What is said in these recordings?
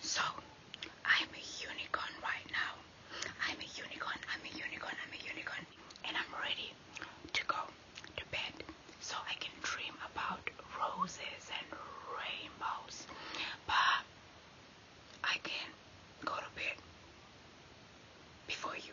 So, I'm a unicorn right now. I'm a unicorn, I'm a unicorn, I'm a unicorn. And I'm ready to go to bed so I can dream about roses and rainbows. But I can go to bed before you.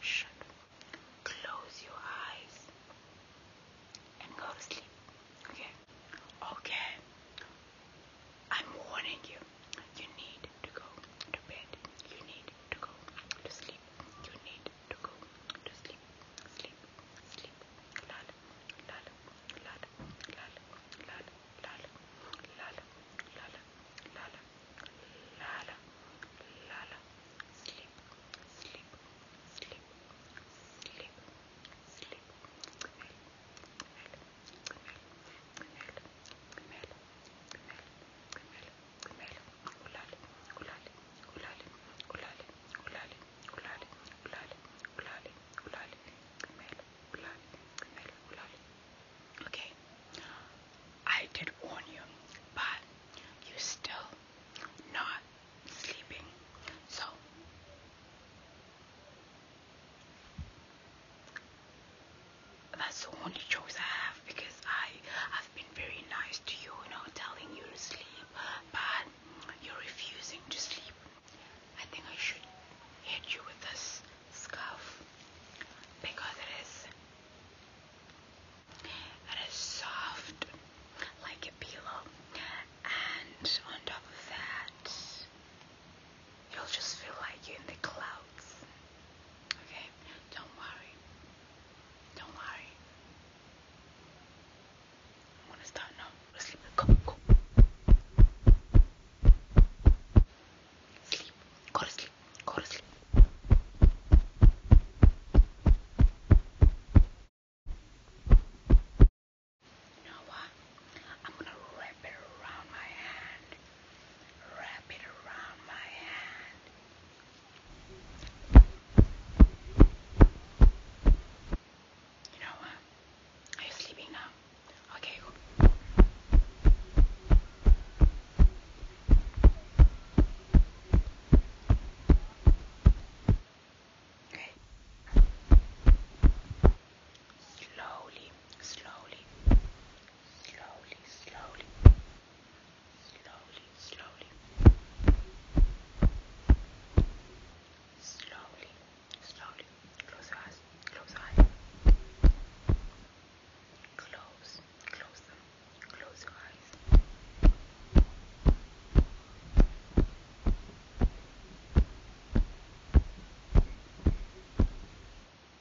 shut. Close your eyes and go to sleep. Okay? Okay. I'm warning you. You need to go to bed. You need to go to sleep. You need to go to sleep. Sleep. Sleep. Lal. Lal. Lal. Lal. Lal. Lal. Lal. Lal. Lal. Lala, Lala, sleep, sleep, sleep, sleep, sleep. Gemel, gemel, gemel, gemel, gemel, gemel, gemel. Ulale, ulale, ulale, ulale, ulale, ulale, ulale, ulale, ulale, gemel, ulale, gemel, ulale. Okay, I did warn you, but you are still not sleeping. So that's the only choice I have because I have been very nice to you, you know, telling you to sleep, but you're refusing to sleep. I think I should hit you with this Scuff, because it is it is soft like a pillow and on top of that you'll just feel like you're in the clouds okay don't worry don't worry I'm gonna start now sleep go go Sleep. Go to sleep. Go to sleep. You know what? I'm gonna wrap it around my hand. Wrap it around my hand. You know what? Are you sleeping now? Okay. Okay. Slowly, slowly, slowly, slowly, slowly, slowly, slowly, slowly. Close your eyes. Close your eyes. Close. Close them. Close your eyes.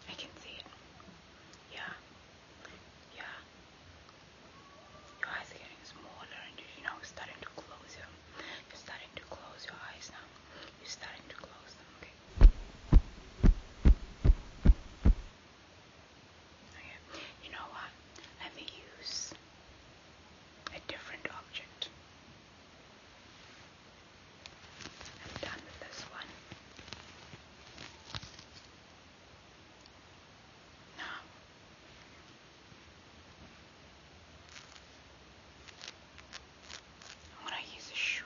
I can see it. Yeah. Yeah. Your eyes are getting smaller and you, know starting to close your you're starting to close your eyes now. You're starting to close them, Okay. You know what? Let me use a different object. I'm done with this one. Now, I'm going to use a shoe.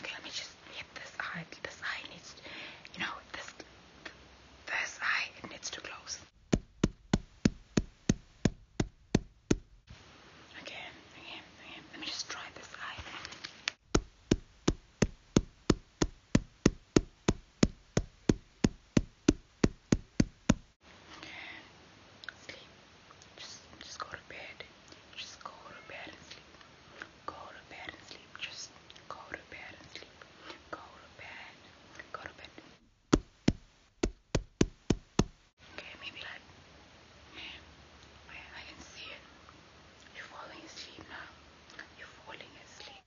Okay, let me just hit this eye. This eye needs, you know, this this eye it needs to close. Okay, okay, okay. Let me just try this eye. Sleep. Just just go to bed. Just go to bed and sleep. Go to bed and sleep. Just go to bed and sleep. Go to bed. Go to bed. Okay, maybe like I, I can see it. You're falling asleep now. You're falling asleep.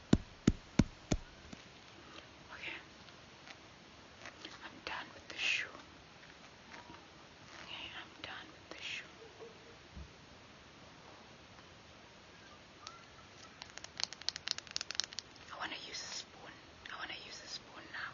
Okay. I'm done with the shoe. Okay, I'm done with the shoe. I want to use a spoon. I want to use a spoon now.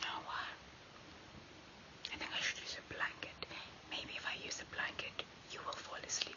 You oh, know what? I think I should use a blanket. Maybe if I use a blanket, you will fall asleep.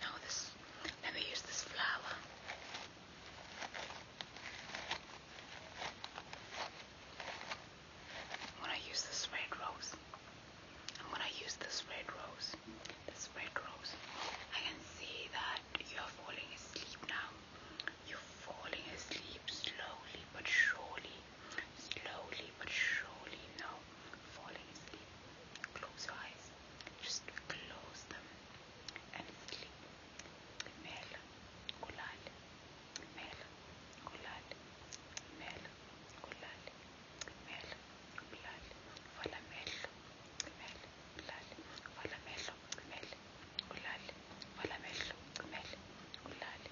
Now this, let me use this flower. I'm gonna use this red rose. I'm gonna use this red rose. This red rose. I can see that you're falling asleep now. You're falling asleep slowly but surely. Slowly but surely. No, falling asleep. Close your eyes. Just close them and sleep. Mel, Kulal, مال قلال مال قلال مال قلال ولا مال مال قلال ولا مال مال قلال ولا مال مال قلال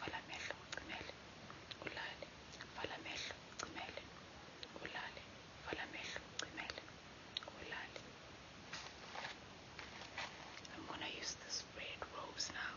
ولا مال مال قلال ولا مال مال قلال ولا مال مال قلال I'm gonna use this red rose now.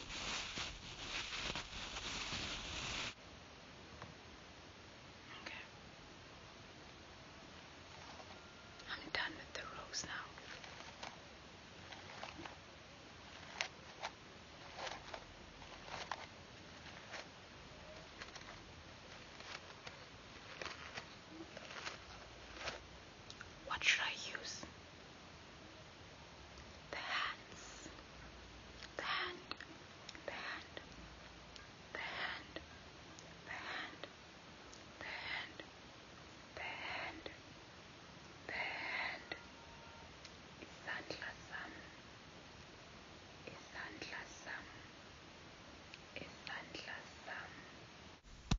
Okay. I'm done with the rose now. What should I use? the hands, the hand, the hand, the hand, the hand, the hand, the hand, the hand, isandla sami, isandla sami, isandla sami.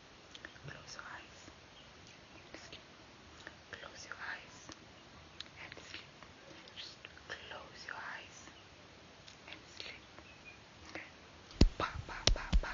Close your eyes and sleep. Close your eyes and sleep. Just close your eyes and sleep. Okay. Pa pa pa pa.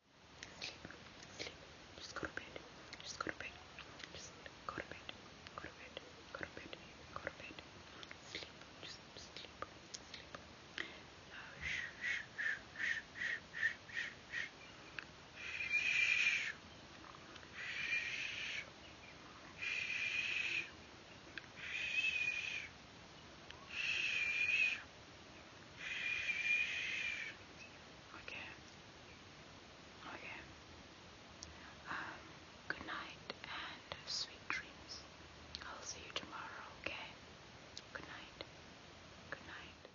Sleep. Sleep. Just go to bed. Just go to bed. Just go to bed. Go to bed. Go to bed. Go to bed. Sleep. Just sleep. Sleep. Uh, shh, shh, shh, shh, shh, shh, shh. Shh. Okay. Okay. Um, good night and sweet dreams. I'll see you tomorrow, okay? Good night. Good night.